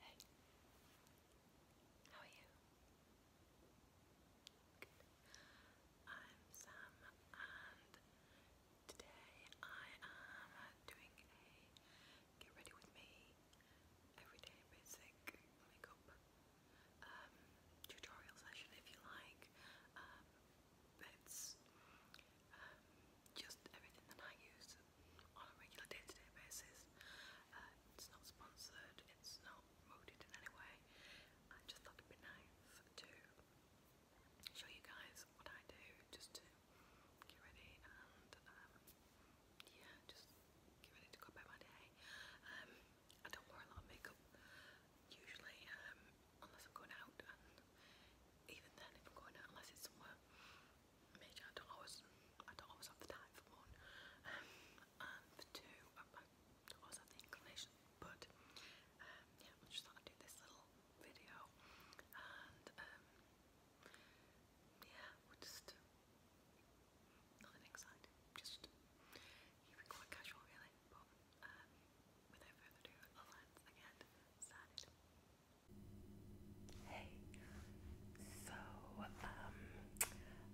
Hey, how are you? Good. I'm Sam, and today I am doing a get ready with me everyday basic makeup um, if you like. Um, it's um, just everything that I use on a regular day-to-day basis. Uh, it's not sponsored, it's not promoted in any way. I just thought it'd be nice to show you guys what I do just to get ready and um, yeah, just get ready to go about my I don't wear a lot of makeup usually um, unless I'm going out and even then if I'm going out unless it's somewhere major I don't always I don't always have the time for one um, and for two I don't always have the inclination but um, yeah I just thought I'd do this little video and yeah we're just nothing exciting just keep quite casual really um, hey, so um,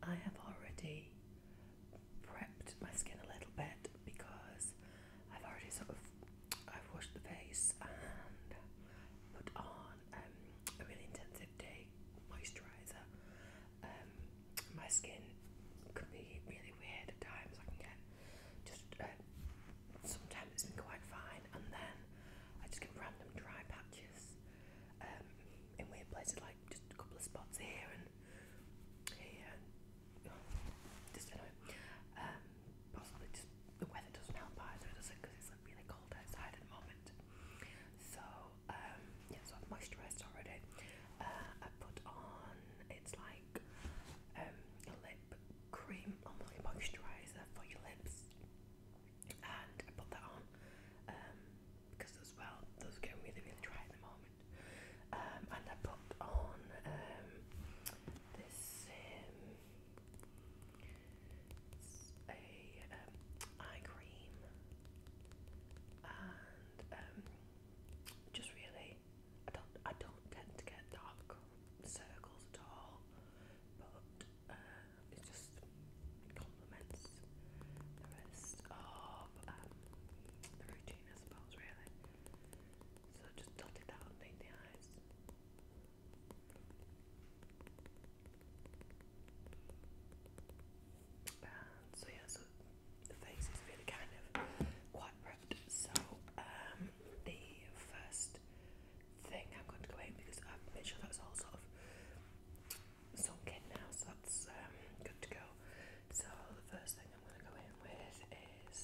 I have already prepped my skin a little bit because I've already sort of I've washed the face and put on um, a really intensive day moisturizer. Um, my skin could be really weird at times. I can get just uh, sometimes it's been quite fine, and then I just get random dry patches um, in weird places, like just a couple of spots here and here. just anyway, um, possibly just the weather doesn't help either, does it? Because it's like really cold outside at the moment. So um, yeah, so I've moisturised already. Uh, I put on it's like um, a lip cream, almost oh moisturiser for your lips. And I put that on because um, as well those are really really dry at the moment. Um, and I put on this a eye cream and just really I don't I don't tend to get dark circles at all, but uh, it just complements the rest of um, the routine, I suppose. Really, so just dotted that underneath the eyes. And so yeah, so the face is really kind of quite prepped. So um, the first thing I'm going to go in because I've made sure that's all sort of sunk in now, so that's um, good to go. So the first thing I'm going to go in with is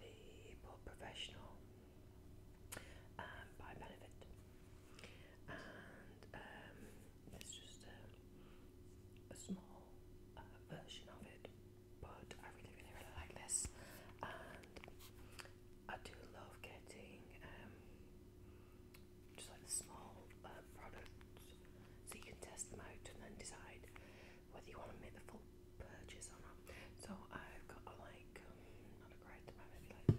the Port Professional um, by Benefit. And um, it's just a, a small uh, version of it but I really, really, really like this, and I do love getting um, just like the small uh, products so you can test them out and then decide whether you want to make the full purchase or not. So I've got a, like um, not a great amount, maybe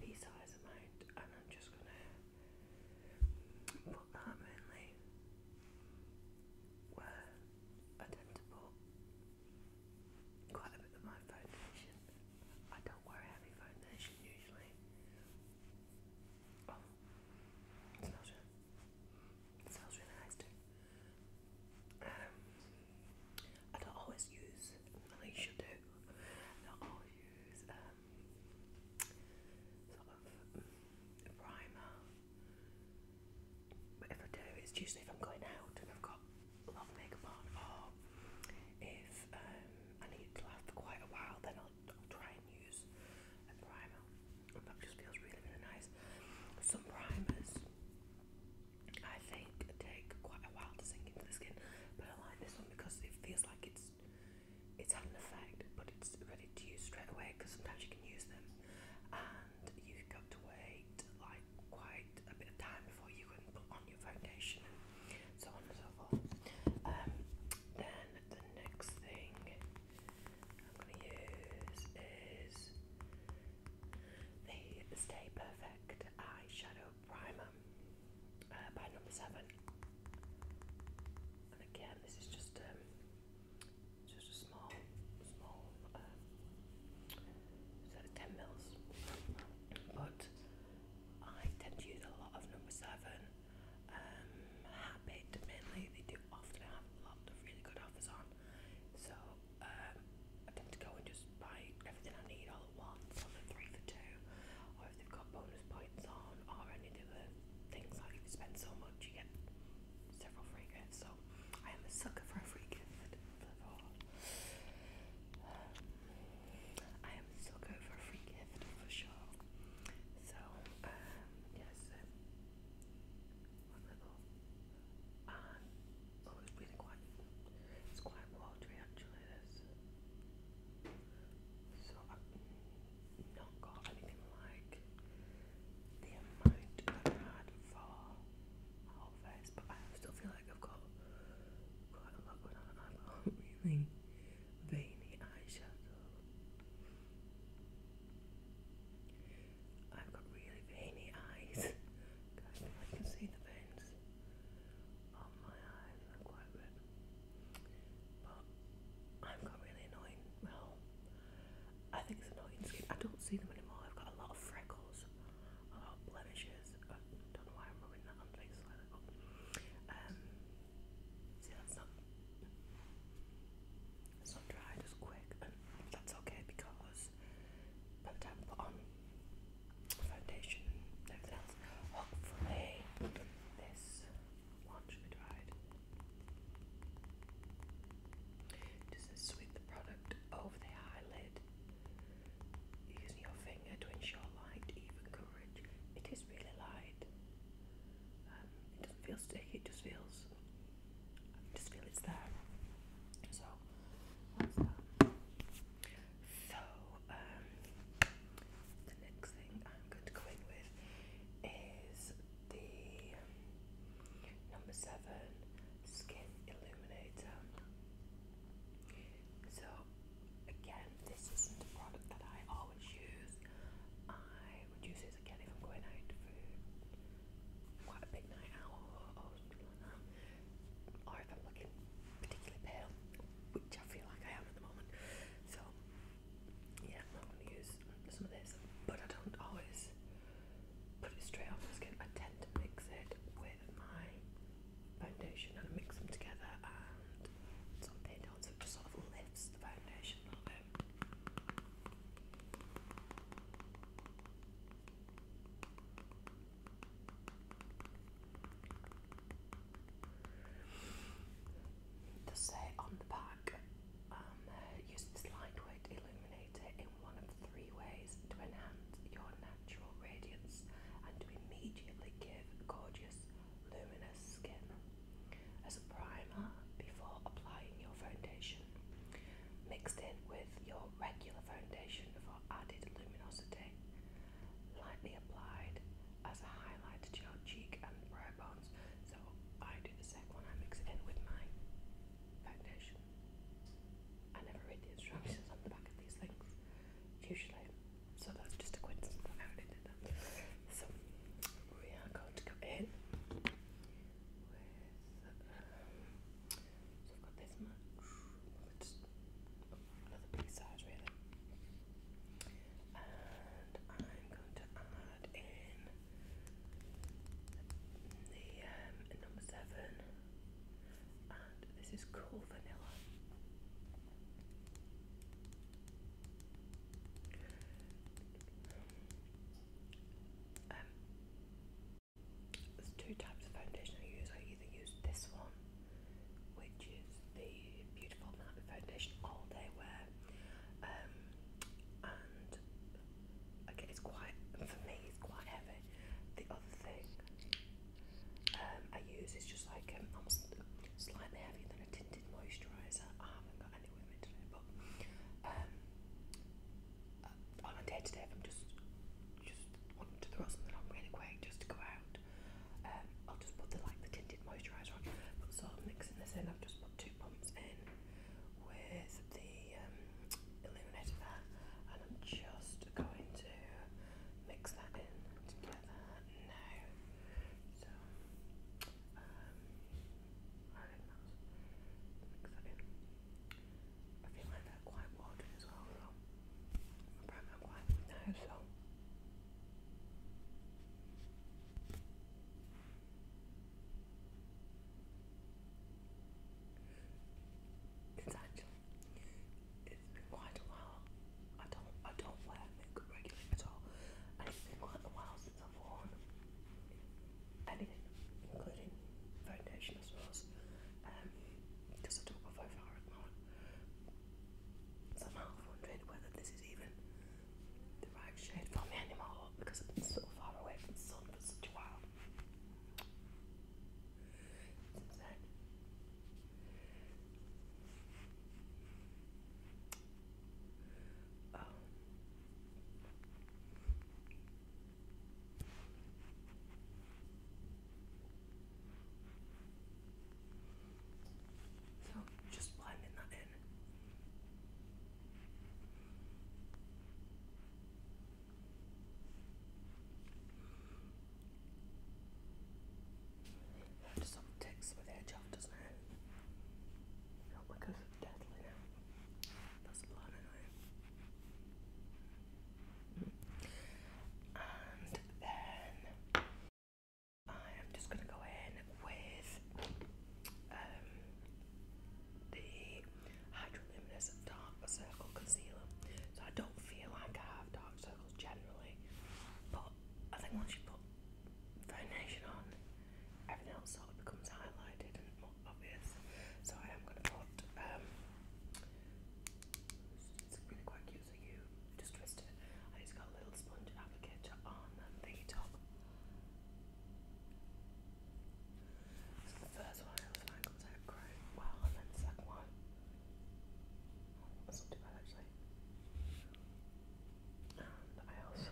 pea size amount, and I'm just gonna put that mainly were identical. Quite a bit of my foundation. I don't wear heavy foundation usually. Oh, smells really, nice too. Um, I don't always use, I know you do, I use um, primer. But I do, it's usually if I'm going out and I've got a makeup on, if um, I need to last for quite a while, then I'll, try and use a primer. But that just feels really, really nice. Some primers, I think, take quite a while to sink into the skin, but I like this one because it feels like it's it's had an effect, but it's ready to use straight away. Because sometimes you can use them and you've to wait like quite a bit of time before you can put on your foundation and so on and so forth. Um, then the next thing I'm going to use is the Stay Perfect Eyeshadow Primer uh, by number 7. And again, this is just um, just a small, small, um, is that 10 mils? But I tend to use a lot of number 7, um, Habit mainly, they do often have a lot of really good offers on, so um, I tend to go and just buy everything I need all at once on the 3 for 2, or if they've got bonus points on, or any of the things like if you spend so much you get several free gifts, so I am a sucker for a fragrance. Um, I am a sucker for a free gift for sure. So, um, yes, um, little, uh, oh, it's really quite, it's quite watery actually, this. So, i not got anything like the amount I've had for whole face, but I still feel like I've got quite a lot going on. I don't really veiny eyeshadow. I've got really veiny eyes. I can see the veins on my eyes. They're quite red. But I've got really annoying, well, I think it's annoying skin. I don't see them anymore. I've got a lot of freckles, a lot of blemishes. don't know why I'm rubbing that on face um, see, that's not it's dried as quick, and that's okay because by the time I put on foundation everything else, hopefully this one should be dried. Just sweep the product over the eyelid using your finger to ensure light, even coverage. It is really light. Um, it doesn't feel sticky, it just feels, just feel it's there. So, So, um, the next thing I'm going to go in with is the um, number seven skin illuminator. So again, this isn't a product that I always use. I would use this again if I'm going out for quite a big night out um, or, if I'm looking particularly pale, which I feel like I am at the moment. So yeah, I'm gonna use some of this, but I don't always put it straight on my skin. I tend to mix it with my foundation and I mix them together and some on so it just sort of lifts the foundation a bit. They say on the back um, use this lightweight illuminator in one of three ways to enhance your natural radiance and to immediately give gorgeous, luminous skin. As a primer, before applying your foundation, mixed in with your regular foundation for added luminosity, lightly applied as a highlight to your cheek and brow bones. So I do the second one, I mix in with mine foundation. I never read the instructions on the back of these things, usually, so that's just a coincidence So, we are going to go in um, so I've got this much, another big size really, and I'm going to add in the um, number seven, and this is cool vanilla. Um, there's two types of foundation I use. I either use this one, which is the beautiful matte foundation all day wear, um, and Okay, it's quite for me. It's quite heavy. The other thing um, I use is just like um, slightly heavier than a tinted moisturiser. I haven't got any with me today, but um, on day to if I'm just just wanting to throw something on really quick just to go out, um, I'll just put the like the tinted moisturiser on. But so I'm mixing this in. I've just put two pumps in with the um, illuminator and I'm just going to mix that in together now. So, um, I mix that in. I feel like they're quite watery as well, so I'm probably not quite now, so. It's actually it's been quite a while. I don't I don't wear makeup regularly at all. And it's been quite a while since I've worn anything, including foundation I suppose. Um because I don't far at the I'm half wondering whether this is even the right shade for me anymore because I've been so far away from the sun for such a while. Um, so just blending that in. There's some ticks with edge off, doesn't it? Oh Not like a deadly. That's blood anyway. And then I am just gonna go in with um, the Hydroluminous Dark Circle Concealer. So I don't feel like I have dark circles generally, but I think once you put foundation on, everything else sort of becomes highlighted and more obvious. So I am going to put, um, it's really quite cute, so you just twist it. I just got a little sponge applicator on the top. So the first one I was like, was that great? Well, and then the second one, oh, that's not too bad actually. And I also,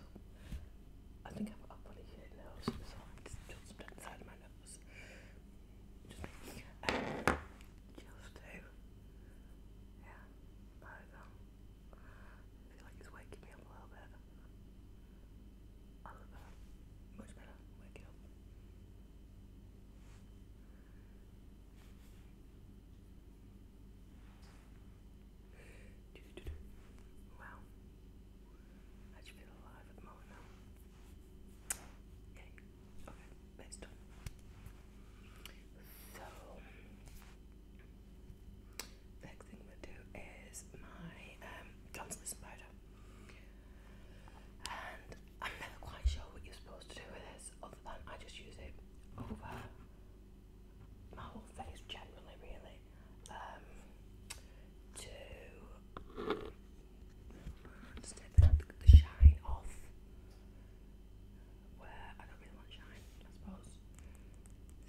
I think I've got a funny here nose, so I just just inside my nose. Just, um, just do. Yeah, there we go. I feel like it's waking me up a little bit. Wow. I just feel alive at the moment now. Okay. Okay. That's done. So, next thing I'm going to do is my um, tonsillis and I'm never quite sure what you're supposed to do with this other than I just use it over my whole face generally really um, to just the, the shine off where I don't really want shine I suppose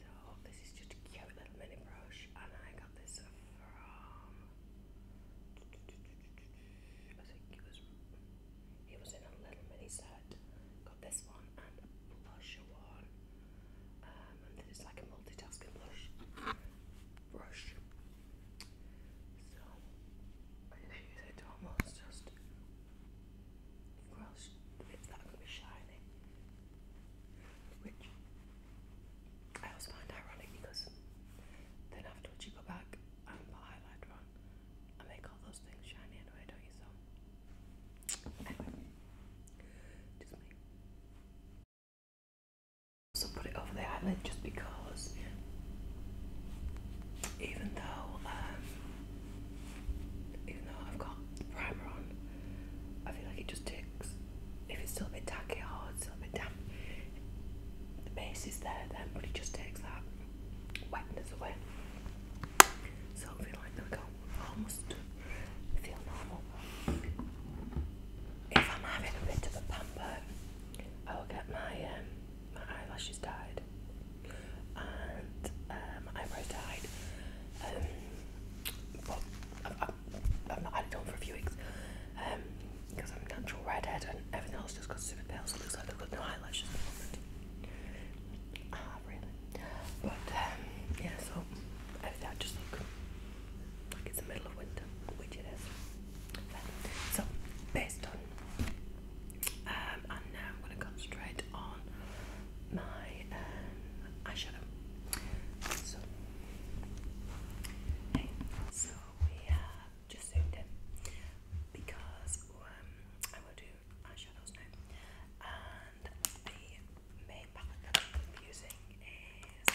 so this is just a cute little mini brush and I got this from. I think it was. It was in a little mini set. Got this one and a one, um, and then it's like a multitasking blush brush. So I use it to almost just brush the that are be shiny, which I always find ironic because then afterwards you go back and put highlighter on and make all those things shiny anyway, don't you? So, anyway, just me. Also, put it over the eyelid just because, even though, um, even though I've got primer on, I feel like it just ticks if it's still a bit tacky or oh, it's still a bit damp, the base is there then, but it just takes that wetness away. So I feel like there we go, almost feel normal. If I'm having a bit of a pamper, I will get my um, my eyelashes dyed and my um, eyebrows dyed. Um, i have not had it on for a few weeks um because I'm natural redhead and everything else just got super pale, so it looks like they've got no eyelashes at the moment. Ah, really? But um, yeah, so everything just look like it's the middle of winter, which it is. So based on, um, now I'm going to concentrate on my um, eyeshadow. So, so we just zoomed in because um, I will do eyeshadows now. And the main palette I'm using is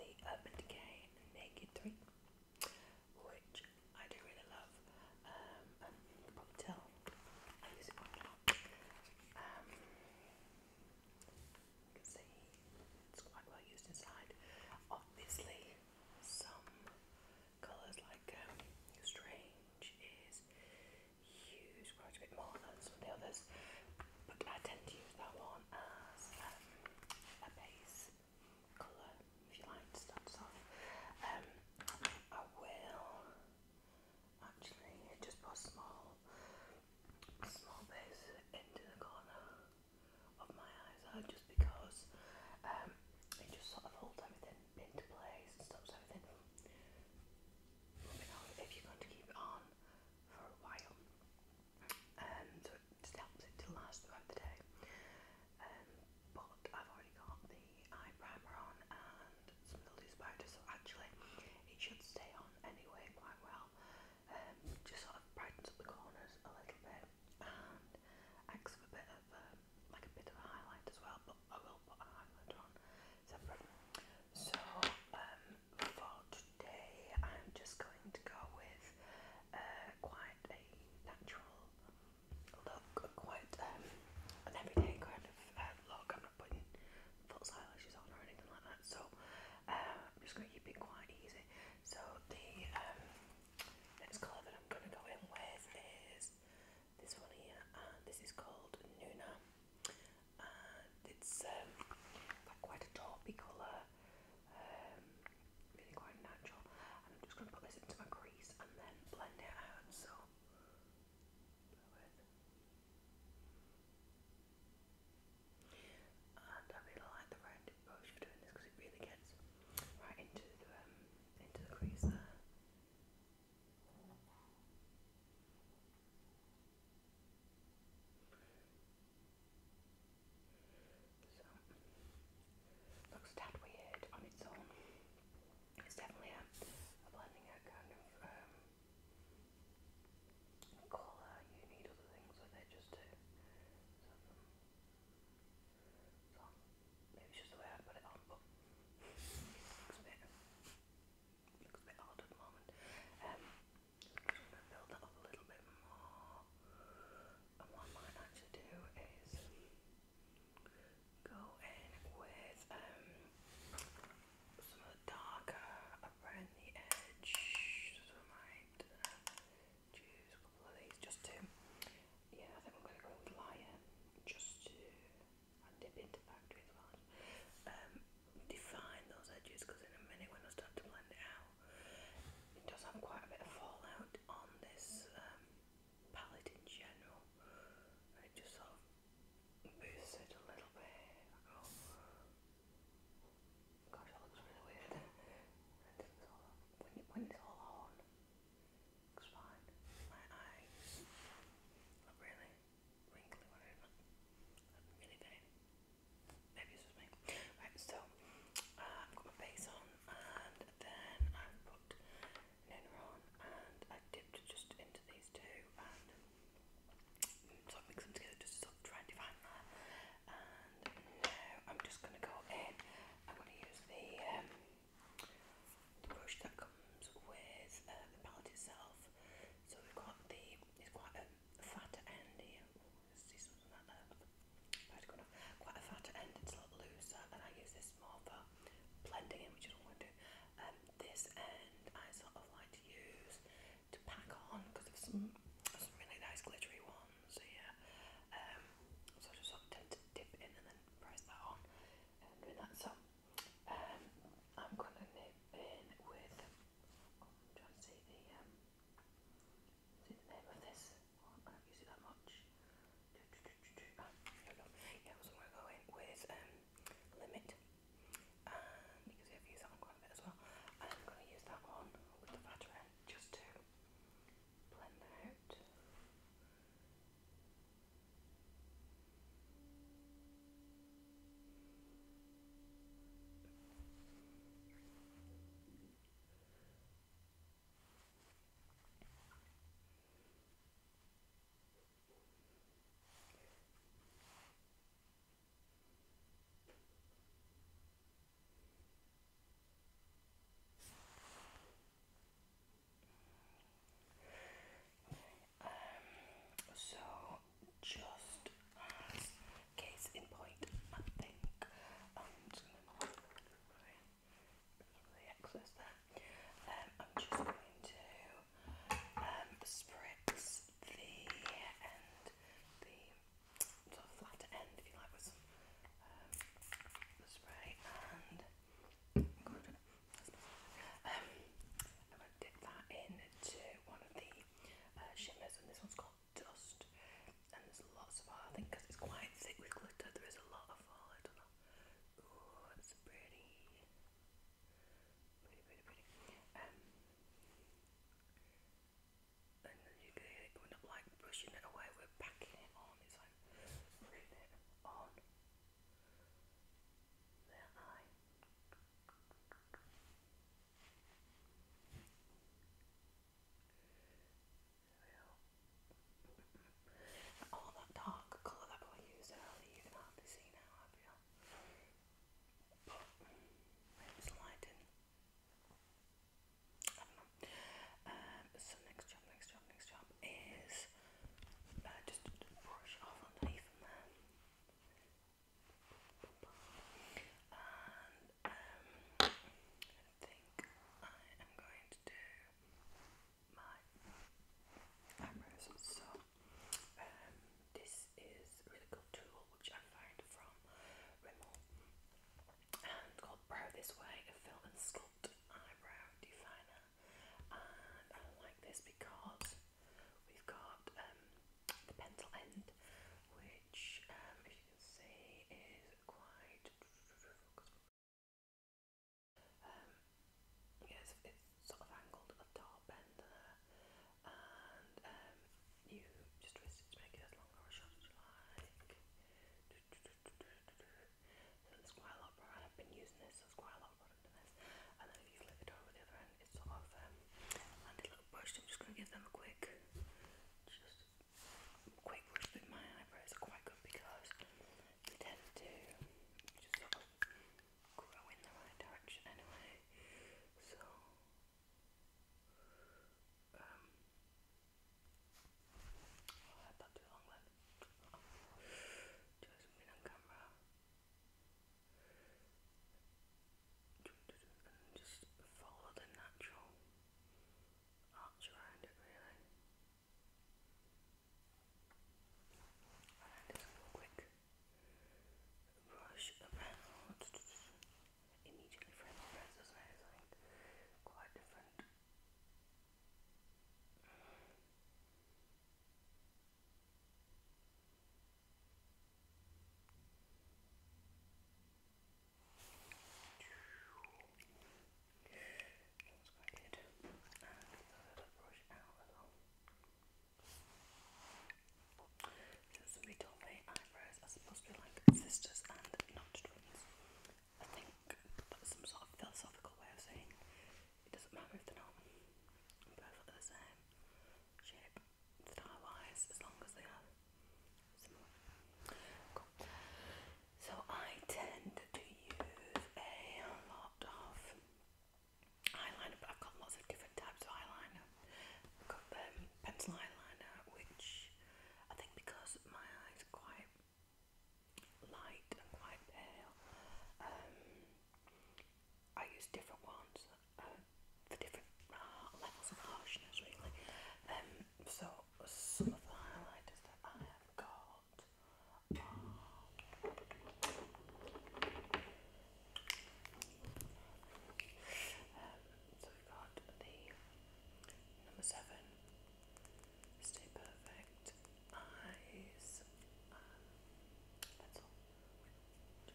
the Urban Decay Naked 3, which I do really love. you probably tell I use it quite a lot. Um, you can see it's quite well used inside. Obviously, some colours like um, Strange is used quite a bit more than some of the others, but I tend to use that one as um, a base colour, if you like, to start us off. Um, I will actually just put a small, small base into the corner of my eyes just because um, it just sort of holds everything into place and stops everything if you're going to keep on for a while. Um, so it helps it to last throughout the day. Um, but I've already got the eye primer on and some of the loose powder, so actually it should stay on anyway quite well. Um, just sort of brightens up the corners a little bit and acts as a bit of um, like a bit of a highlight as well but I will put a highlighter on So um, for today I'm just going to go with uh, quite a natural look, quite an everyday kind of uh, look. I'm not putting false eyelashes on or anything like that so I'm just going to keep it quite easy. So the um, next colour that I'm going to go in with is this one here, and this is called Nuna, and it's um, got quite a taupey colour, um, really quite natural. And I'm just going to put this into my crease and then blend it out. So. I really like the rounded brush for doing this because it really gets right into the um, into the crease there. So looks tad weird on its own. It's definitely a, blending out kind of um, colour. You need other things with it just to. So maybe just the way I put it on, but looks a bit looks a bit odd at the moment. Um i to build up a little bit more. And what I might actually do is go in with um some of the darker around the edge. So I choose a couple of these just to, yeah, I think I'm going to go with Lion just to dip into factory as well. Um, define those edges because in a minute when I start to blend it out, it does have quite a bit of fallout on this um, palette in general. And just sort of boosts it a little bit. Gosh, that looks really weird. when, you, it's all on, looks fine. My eyes look really wrinkly when I'm really vain. Maybe it's just me. Right, so uh, I've got my base on and then I've put Nuna on and I dipped just into these two and mm, so I together just to sort of try and and uh, now I'm just going to go in. I'm going to use the, um, the brush that comes with uh, the palette itself. So we've got the, it's quite a fat end see something like that Quite a fat end, it's a lot looser, and I use this more for blending in, which I don't want to do. Um, this end I sort of like to use to pack on because of some, some really nice glittery ones. So yeah, um, so just sort of tend to dip in and then press that on and um, that. So um, I'm going in with. trying to see the name of this. I don't use it that much. Yeah, so I'm gonna go in with limit. because I've used that quite a bit as well. I'm going to use that one with the flatter end just to blend that out. Um, so, just as case in point, I think um, um, I'm just going to um, spritz the end, the sort of flatter end, if you like, with some um, spray and um, I'm going to dip that into one of the uh, shimmers, and this one's called Dust. And there's lots of, I think, it's quite thick with glitter, there is a lot of fall. Oh, I don't know. Oh, it's pretty. Pretty, pretty, pretty. Um, and you can going up like brushing it away, we're packing it on, it's like on their eye. All oh, that dark colour that I used earlier, you can hardly see now, I feel. it's lighting. I um, do so next job, next job, next job is uh, just brush off underneath from And um, I think I am going to do my eyebrows. So um, this is really cool tool which I find from Rimmel and called Brow This Way, a fill and eyebrow definer. And I like this because we've got um, the pencil end, which, if um, you can see, is quite. Um, yes, it's sort of angled at the top and and um, you just twist it to make it as long or as short as you like. So there's quite a lot and I've been using this, so there's quite a lot of product this. And then if you flip it over the other end, it's sort of um, landed little brush. I'm just going to give them a quick, just quick brush with my eyebrows are quite good because they tend to just grow in the right direction anyway. So, um, Oh, I Just been on camera. And just follow the natural arch around it really. And just a quick brush around immediately from the rest, doesn't It's quite different. That's quite good. And the little brush out as well. Since somebody told me eyebrows are supposed to be like sisters and not twins. I think that's some sort of philosophical way of saying it doesn't matter if they're not perfectly the same shape style as long as they are So I tend to use a lot of eyeliner, I've got lots of different types of eyeliner. I've got um, pencil eyeliner, which I think because my eyes are quite light and quite pale. Um, I use different ones uh, for different uh, levels of harshness, really. Um, so some of the highlighters that I have got um, so we've got the number seven Stay perfect. Eyes. Um,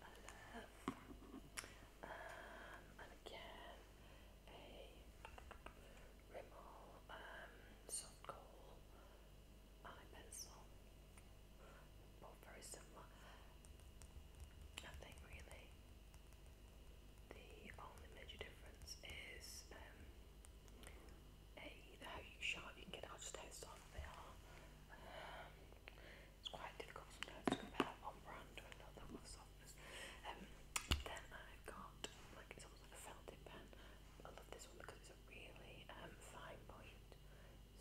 I love. Um, and again, a Rimmel um, soft coal eye pencil. Both very similar. I think really the only major difference is um, Hey, the how you shot, you can get out just how soft they it's quite difficult sometimes to compare one brand to another with softness. Um, then I've got like it's almost like a felted pen. I love this one because it's a really um, fine point,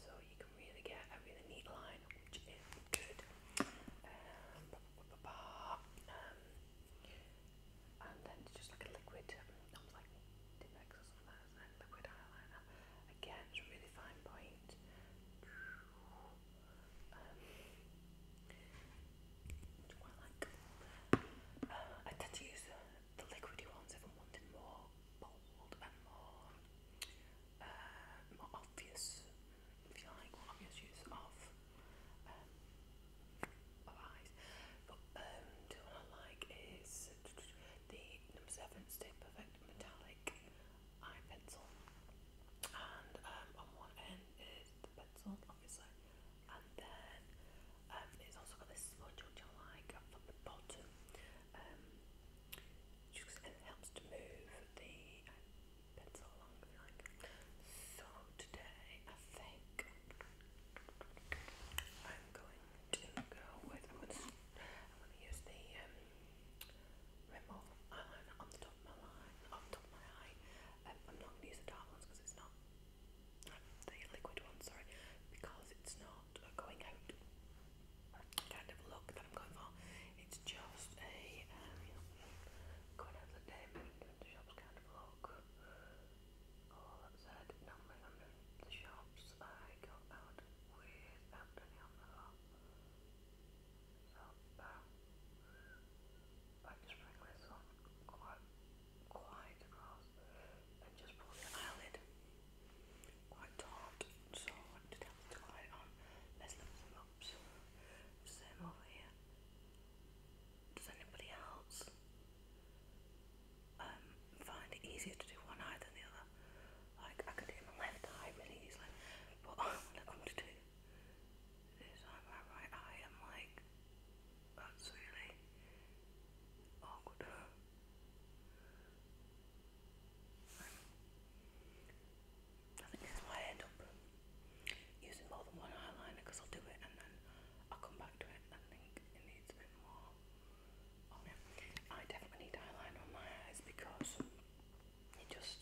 so you can really get a really neat line, which is good. Um, um, and then it's just like a liquid, um, like Dimex or something like liquid eyeliner. Again, really fine point. Um, uh, I tend to use the, the ones if I'm wanting more bold and more, uh, more obvious, if you like, obvious use of um, of But um, the one I like is the number seven Stay Perfect Metallic Eye Pencil, and um, on one end is the pencil, obviously, and then um, it's also got this sponge which like at the bottom. Um, it helps to move the pencil along so today I think I'm going to go with I'm gonna, use the um, Rimmel eyeliner on the top of my line, on the top of my eye. Um, I'm not gonna use the dark ones because it's not the liquid one, sorry, because it's not going out kind of look that I'm going for. It's just a um, going out the day, maybe the shops kind of look. Oh, all said numbers under the shops I go out without any on So um, I just bring this one quite quite across and just pull the eyelid quite taut so I did have the on. Let's lift them up. Same over here. Does anybody else um, find it easier to do one eye than the other. Like, I could do my left eye really easily, but when it comes to this eye, my right eye, I'm like, that's really awkward. I think this is end up using more than one eyeliner because I'll do it and then I'll come back to it. I think it needs a bit more on oh, it. I definitely need eyeliner on my eyes because it just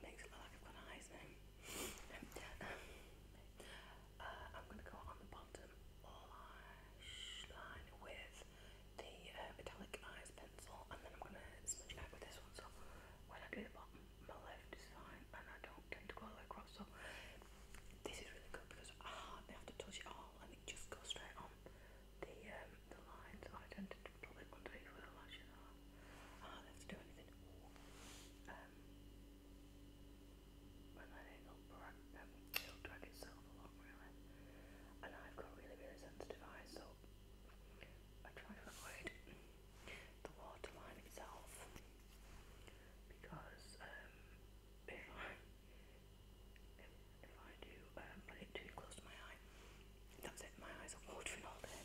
makes it look like I've got eyes now. Uh, I'm going to go on the bottom lash with the uh, metallic eyes pencil and then I'm going to smudge it out with this one. So when I do the bottom my left is fine and I don't tend to go across so this is really good because I hardly have to touch it all and it just goes straight on the um, the lines I tend to pull it underneath where the lashes are I hardly have do anything um, and then it it'll drag itself along really and I've got really really sensitive eyes so I try to avoid the waterline itself because um, if I if, I do um, put it too close to my eye, that's it. My eyes are watering all day,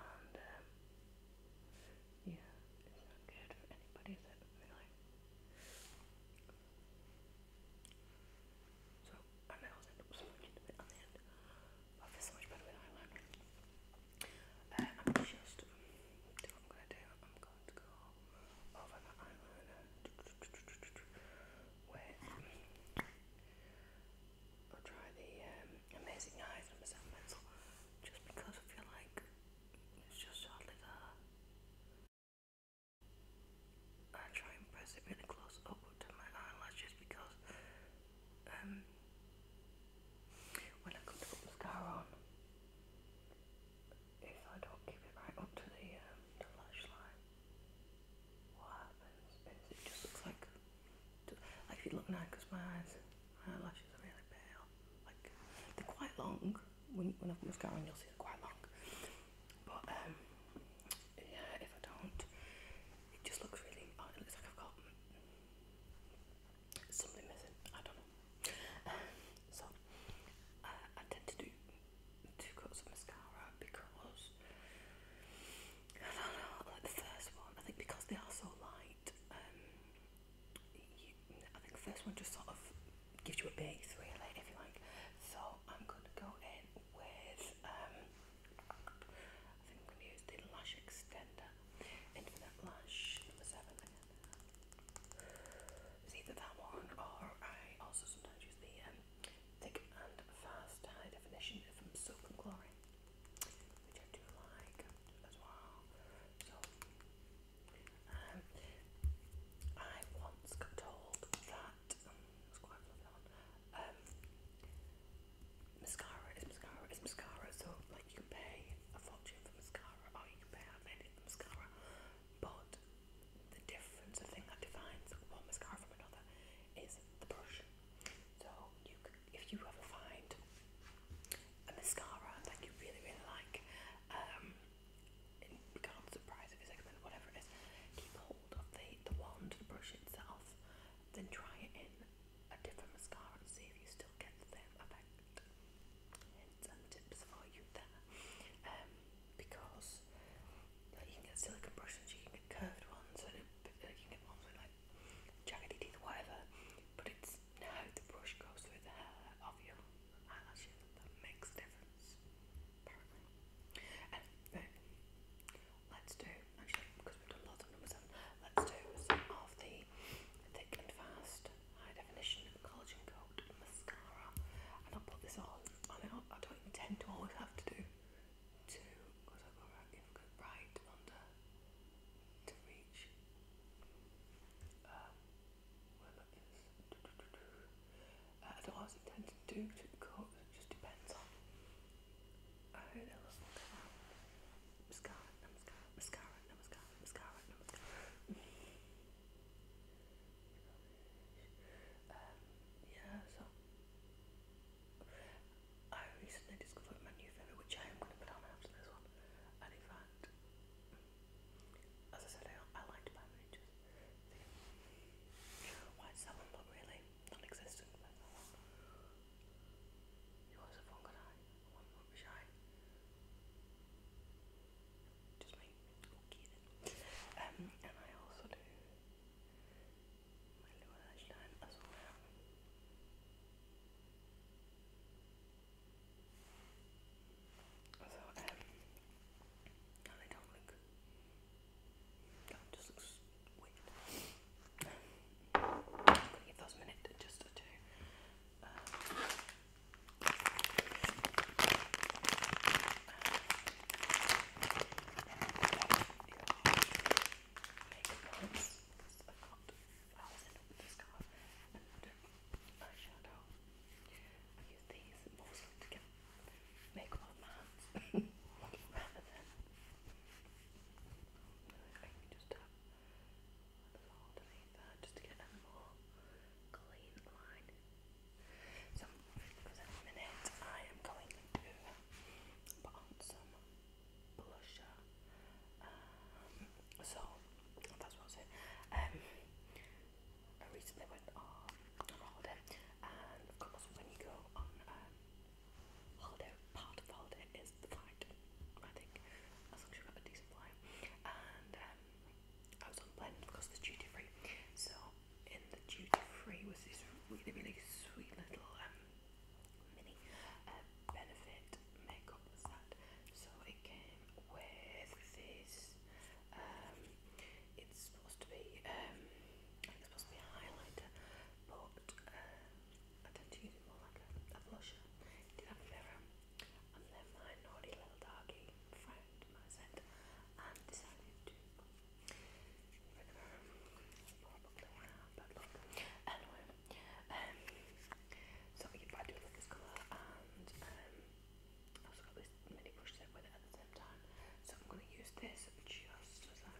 and um, yeah, it's not good for anybody, is So I nails end up smudging the end, much better with eyeliner. Uh, I'm just, um, I'm going to go over my eyeliner with, I'll try the um, Amazing Eyes from Sam Metal just because I feel like it's just hardly there. I try and press it really close up to my eyelashes because um, when I come to put mascara on, if I don't keep it right up to the, um, lash line, what happens is it just looks like, like if you look now, because my eyelashes are really pale, like they're quite long, when, when I put mascara on you'll see they're quite long, but um, yeah, if I don't, it just looks really, it looks like I've got something missing. I don't know. so I tend to do two coats of mascara because I don't know. Like the first one, I think because they are so light, um, I think the first one just sort of gives you a base, really, if you like. So I'm gonna go in with. Um, I think I'm gonna use the lash extender, Infinite Lash number seven. It's either that one or I also sometimes use the um, thick and fast high definition from Soap and Glory, which I do like as well. So, um, I once got told that um, it's quite fluffy on. Um, mascara is mascara is mascara, so you can pay a fortune for mascara or you can pay half an for mascara, but the difference, the thing that defines one mascara from another is the brush. So if you ever find a mascara that you really, really like, um, regardless of surprise if it's expensive, whatever it is, keep hold of the, the wand, the brush itself, then try it in a different mascara and see if you still get the same effect. Hints and tips for you there. Um, because like, you can get silicone brushes, you can get curved ones, and you can get ones with like jaggedy teeth, whatever. But it's how the brush goes through the hair of your eyelashes that makes difference. Apparently. Anyway, let's do actually because we've done lots of number seven. Let's do some of the thick and fast High Definition Collagen Coat Mascara. And I'll put this on. I, don't intend to always have to do two, because I go right, if I right under to reach. Um, uh, I don't always intend to do two coats, it just depends on how they look. Mascara, mascara, mascara, mascara yeah, so I recently discovered my new favourite, which I am going to put on after this one. And in fact, as I said, I, like to buy miniatures. White salmon, but really non You also phone good eye one will be shy. Okay then. Um, and I also do my lower lash as well. So, um, no, they don't look, don't just look weird. give those a minute just to do. Um, eyeshadow. I use these mostly to get makeup on my hands rather than I can just tap fold just to um, get a more clean line. So, because at the minute I am going to put on some blusher. so, that's what I I recently went on holiday, and of course, when you go on holiday, part of holiday is the flight. I think as long as you've got a decent flight time, and um, I was on Blend because it's duty free. So in the duty free was this really really sweet little um, mini uh, benefit makeup set. So it came with this. Um, it's supposed to be um, it's supposed to be a highlighter, but I tend to use it more like a, blusher. did have a mirror. And then my naughty little doggy friend, my scent, and um, decided to recover. Anyway, um, so I do love this colour, and um, I also got this mini brush set with it at the same time. So I'm going to use this just as a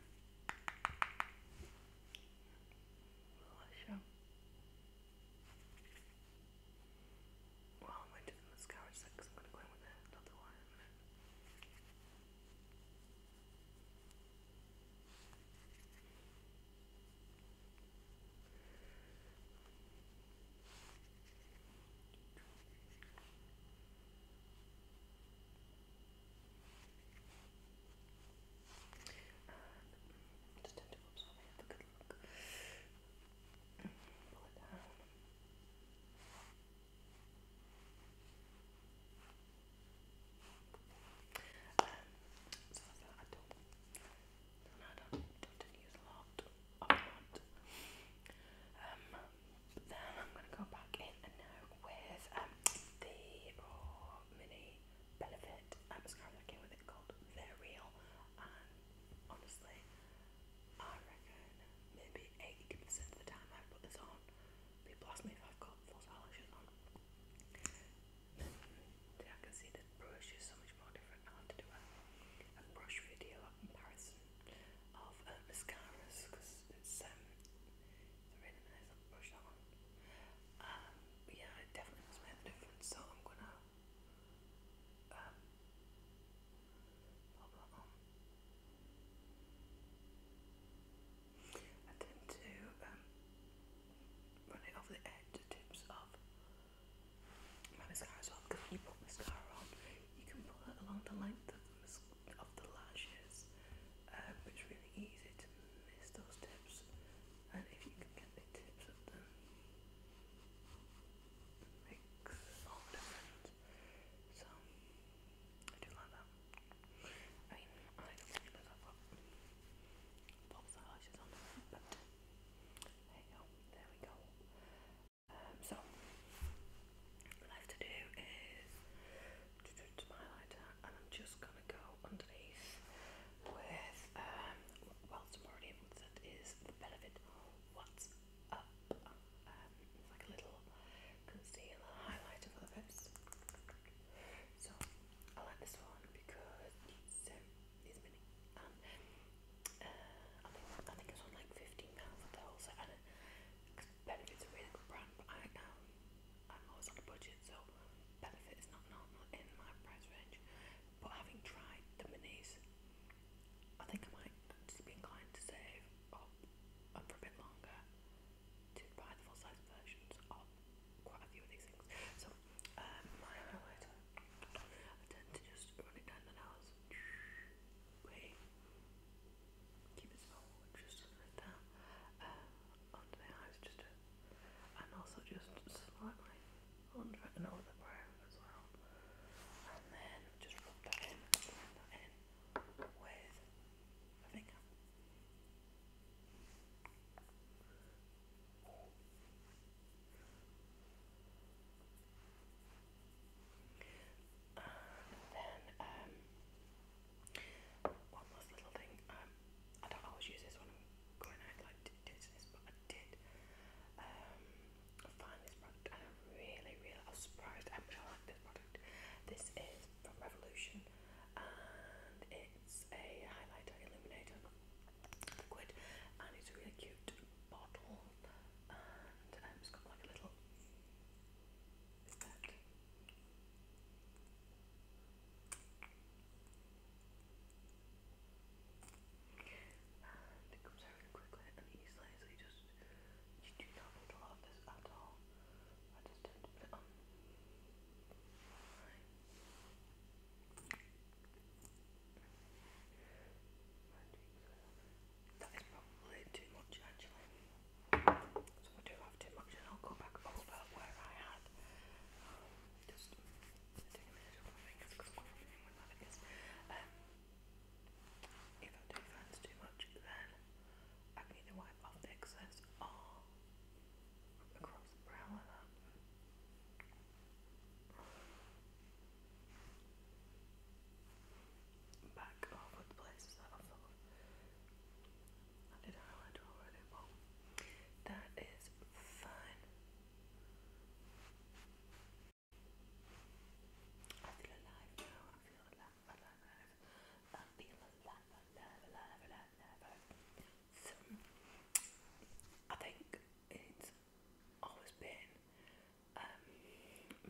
blusher. Well, I'm going to mascara set because I'm going to go in with it, one uh, just tend to have a good look. Pull it so I don't, I don't, don't use a lot then I'm going to go back in and now with um, the Mini Benefit mascara that came with it called they Real honestly, I reckon maybe 80% of the time I put this on, people ask me if I've got false eyelashes on. And I can see the brush is so much more different. I have to do a, brush video, a comparison of uh, mascaras because it's, um, really nice brush that um, but yeah, it definitely does make a difference, so I'm gonna um, I tend to um, run it over the edge, the tips of my mascara as well. Because when you put mascara on, you can pull it along the length of the, lashes, um, it's really easy to miss those tips. And if you can get the tips of them, so I do love them. I mean, I don't really myself up pops the lashes on but there we go. so what I to do is to and I'm just gonna go underneath with um whilst i already that is the Benefit What's Up. Um, it's like a little concealer highlighter for the lips. So I like this one because it's, um, it's mini. Um, uh, I, think, I think it's like £15 for the whole set. And uh, Benefit's a really good brand, but I, um, I'm always on a budget, so Benefit is not normal in my price range. But having tried the minis, I think I might just be inclined to save up for a bit longer to buy full size versions of quite a few of these things. So, um, my highlighter, I tend to just run it down the nose. Keep it small, just like that. Uh, under the eyes, just and also just slightly and over the brow as well. And then just rub that in, with a finger. then um, one last little thing. Um, I don't always use this when I'm going out like this, I did um, find this product and I really, really I was surprised how much I like this product. This is from Revolution and it's a highlighter illuminator liquid and it's a really cute bottle and um, it's got like a little and it comes out quickly and easily, so you just, you do not need a lot this at all. I just tend it on. That is probably too much actually. So I do have too much and I'll go back over where I had um, if I do fancy too much, then I can either wipe off the excess or across the brow like Back over places I thought I did highlighter already, but that is fine. I feel alive now. I feel alive, alive, alive. I feel alive, alive, alive, alive, alive. I think it's always been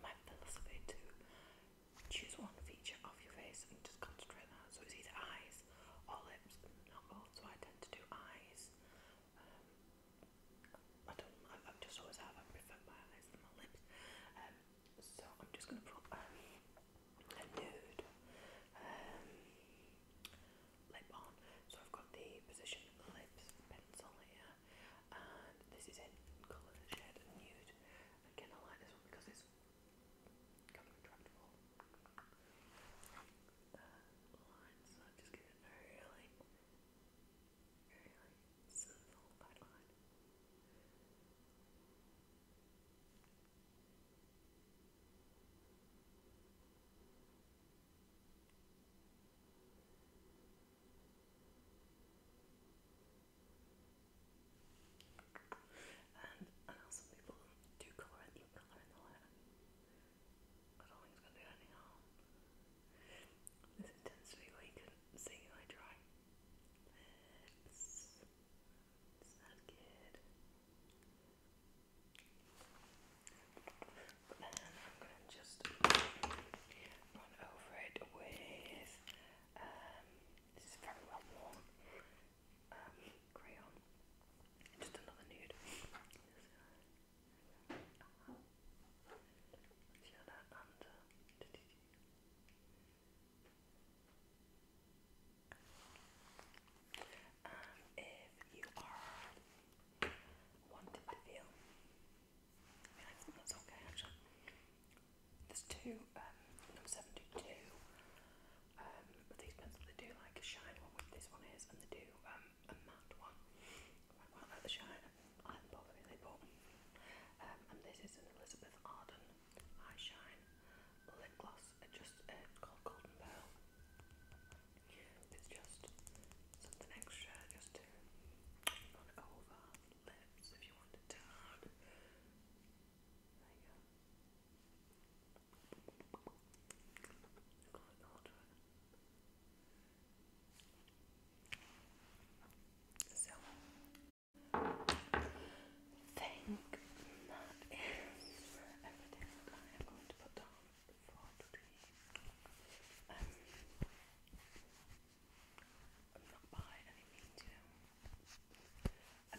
my philosophy to choose one feature of your face and just concentrate on that. So it's either eyes or lips, not both. So I tend to do eyes. Um, I don't. I, I just always have. I prefer my eyes than my lips. Um, so I'm just gonna put um, a nude um, lip on. So I've got the Position Lips pencil here, and this is in colour shade nude. Again, I like this one because it's kind lines. So I just give really some full And I people do colour in, even colour in the hair. I do to do where you couldn't see I try. It's, not good. then I'm gonna just run over it with um this is very well worn um crayon. Just another nude let if you are wanting to feel, that's okay actually. There's two, number 72. but these pencils, they do like shine one, which this one is, and they do um, a matte one. I quite the shine and the perfume they put. and this is an Elizabeth Arden Eye Shine Lip Gloss. just uh, it's called Pearl. It's just something extra just to run over lips if you want it down. There you go. So think that is everything that I am um, going to put down for today. I'm not by any means, you know,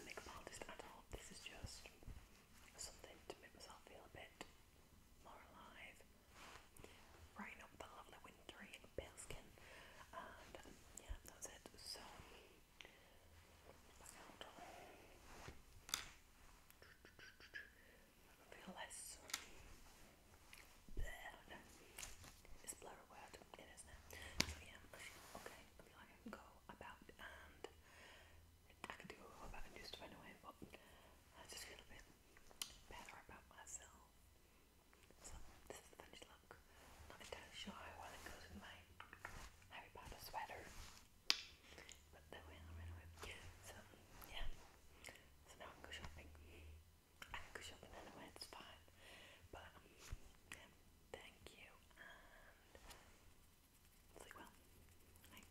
a makeup artist at all. This is just something to make myself feel a bit more alive Right up the lovely wintry pilskin. And um, yeah, that's it. So back out. I feel less it's blur a word, isn't it? So yeah, okay, I feel like I go about and I could do about and do stuff anyway, but I just feel a bit better about myself. So this is the finished look. Not entirely sure how well it goes with my Harry Potter sweater. But there we are anyway. So yeah. So now I can go shopping. I can go shopping anyway, it's fine. But um, yeah, thank you and sleep well. Bye.